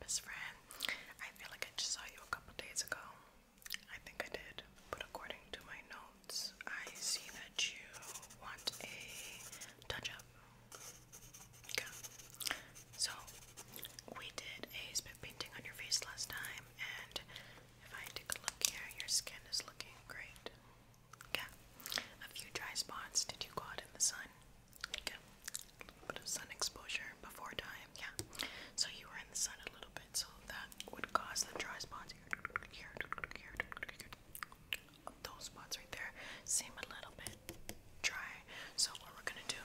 best friend. I feel like I just saw you a couple days ago. I think I did, but according to my notes, I see that you want a touch up. So, we did a spit painting on your face last time, and if I take a look here, your skin is looking great. Okay. A few dry spots to do caught in the sun. Okay. A bit of sun exposure before time. Yeah. So you were in the sun a little bit, so that would cause the dry spots here, here, here. Those spots right there seem a little bit dry. So what we're gonna do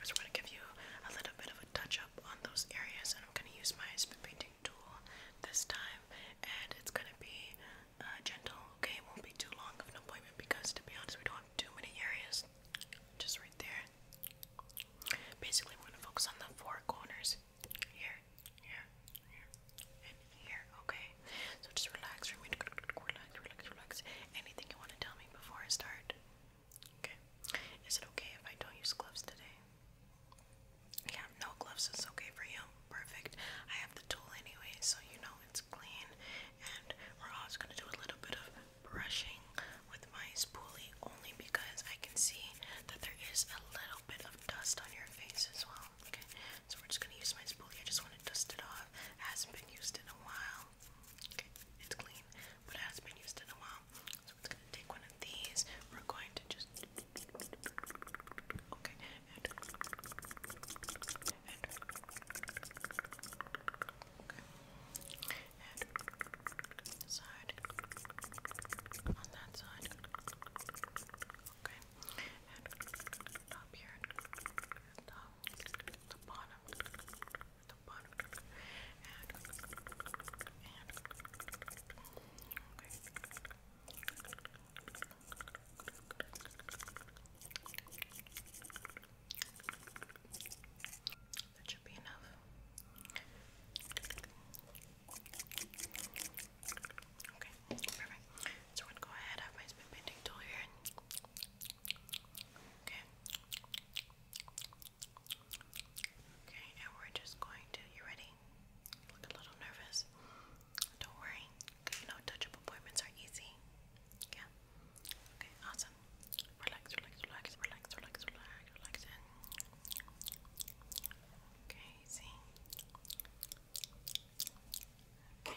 is we're gonna give you a little bit of a touch up on those areas, and I'm gonna use my spit painting tool this time, and it's gonna be uh, gentle, okay? It won't be too long of an appointment because, to be honest, we don't have too many areas. Just right there. Basically, we're gonna focus on the four corners. Here, here, here, and here, okay? So just relax, relax, relax, relax. Anything you wanna tell me before I start? Okay. Is it okay if I don't use gloves today? Yeah, no gloves is okay for you. Perfect. I have the tool anyway, so you know it's clean. And we're also gonna do a little bit of brushing with my spoolie only because I can see that there is a little bit of dust on your face as well. Okay, so we're just gonna use my spoolie. I just wanna dust it off. It hasn't been used in a while. Okay, it's clean, but it hasn't been used in a while. So we're just gonna take one of these. We're going to just Okay, and, and okay, and side on that side. Okay, and up here, the, the bottom, the bottom, and and okay. Okay. That should be enough. Okay, perfect. So I'm gonna go ahead, have my spin painting tool here. Okay. Okay, and we're just going to. You ready? look a little nervous. Don't worry. You know, touch up appointments are easy. Yeah. Okay, awesome. Relax, relax, relax, relax, relax, relax, okay, see. Okay.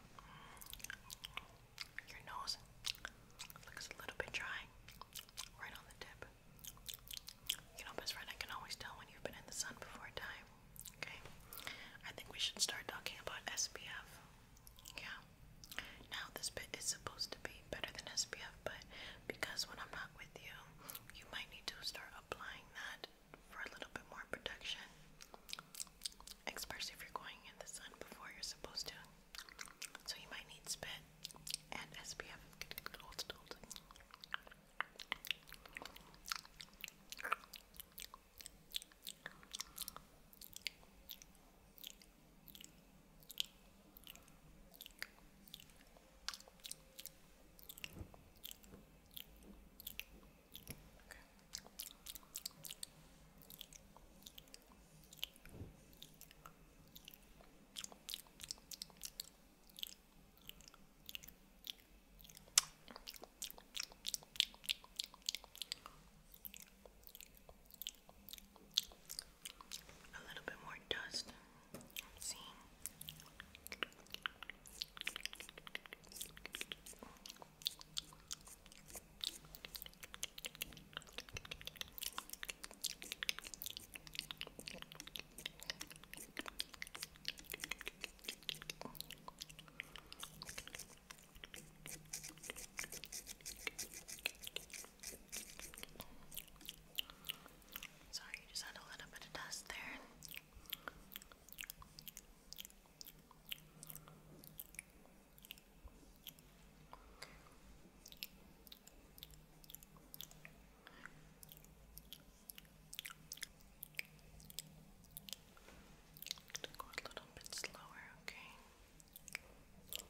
Your nose looks a little bit dry, right on the tip. You know, best friend, I can always tell when you've been in the sun before time. Okay, I think we should start talking about SPF. Yeah. Now this bit is supposed to be better than SPF, but because when I'm not with you, you might need to start applying that for a little bit more protection, especially if you're going in the sun before you're supposed to. So you might need spit and SPF. Okay. A little bit more dust. I'm seeing. Sorry, you just had a little bit of dust there. To go a little bit slower, okay. Okay.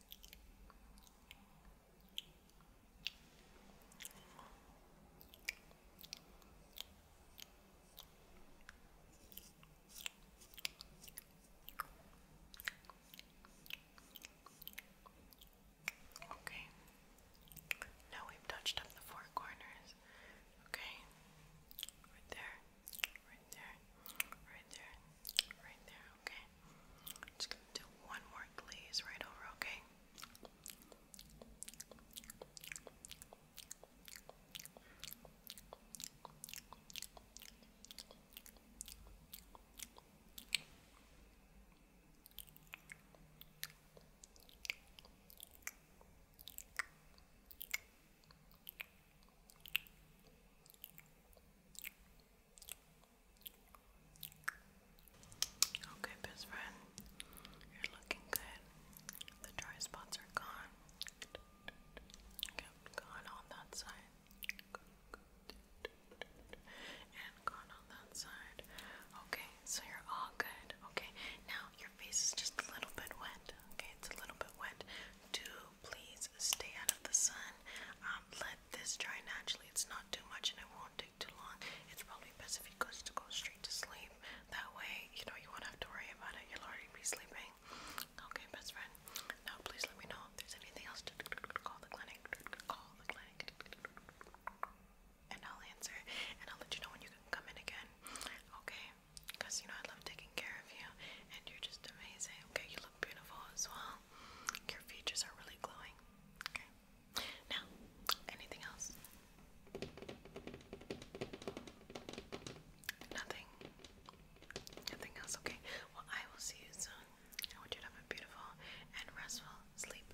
Okay. Now we've touched up the four corners. Okay. Right there right there, right there, right there, okay? just gonna do one more glaze right over, Okay, Okay, best friend, you're looking good. The dry spots are gone. Yep, gone on that side. And gone on that side. Okay, so you're all good. Okay, now your face is just a little bit wet. Okay, it's a little bit wet. Do please stay out of the sun. Um, let this dry naturally. It's not too much and it won't take too long. It's probably best if it goes to go straight to sleep. That way, you know, you won't have to worry about it. You'll already be sleeping. Okay, best friend. Now, please let me know if there's anything else to call the clinic. Call the clinic. And I'll answer and I'll let you know when you can come in again. Okay, because you know I love taking care of you and you're just amazing. Okay, you look beautiful as well. Your features are really glowing. Okay. Now, anything else? Nothing. Nothing else, okay. Well, I will see you soon. I want you have a beautiful and restful sleep.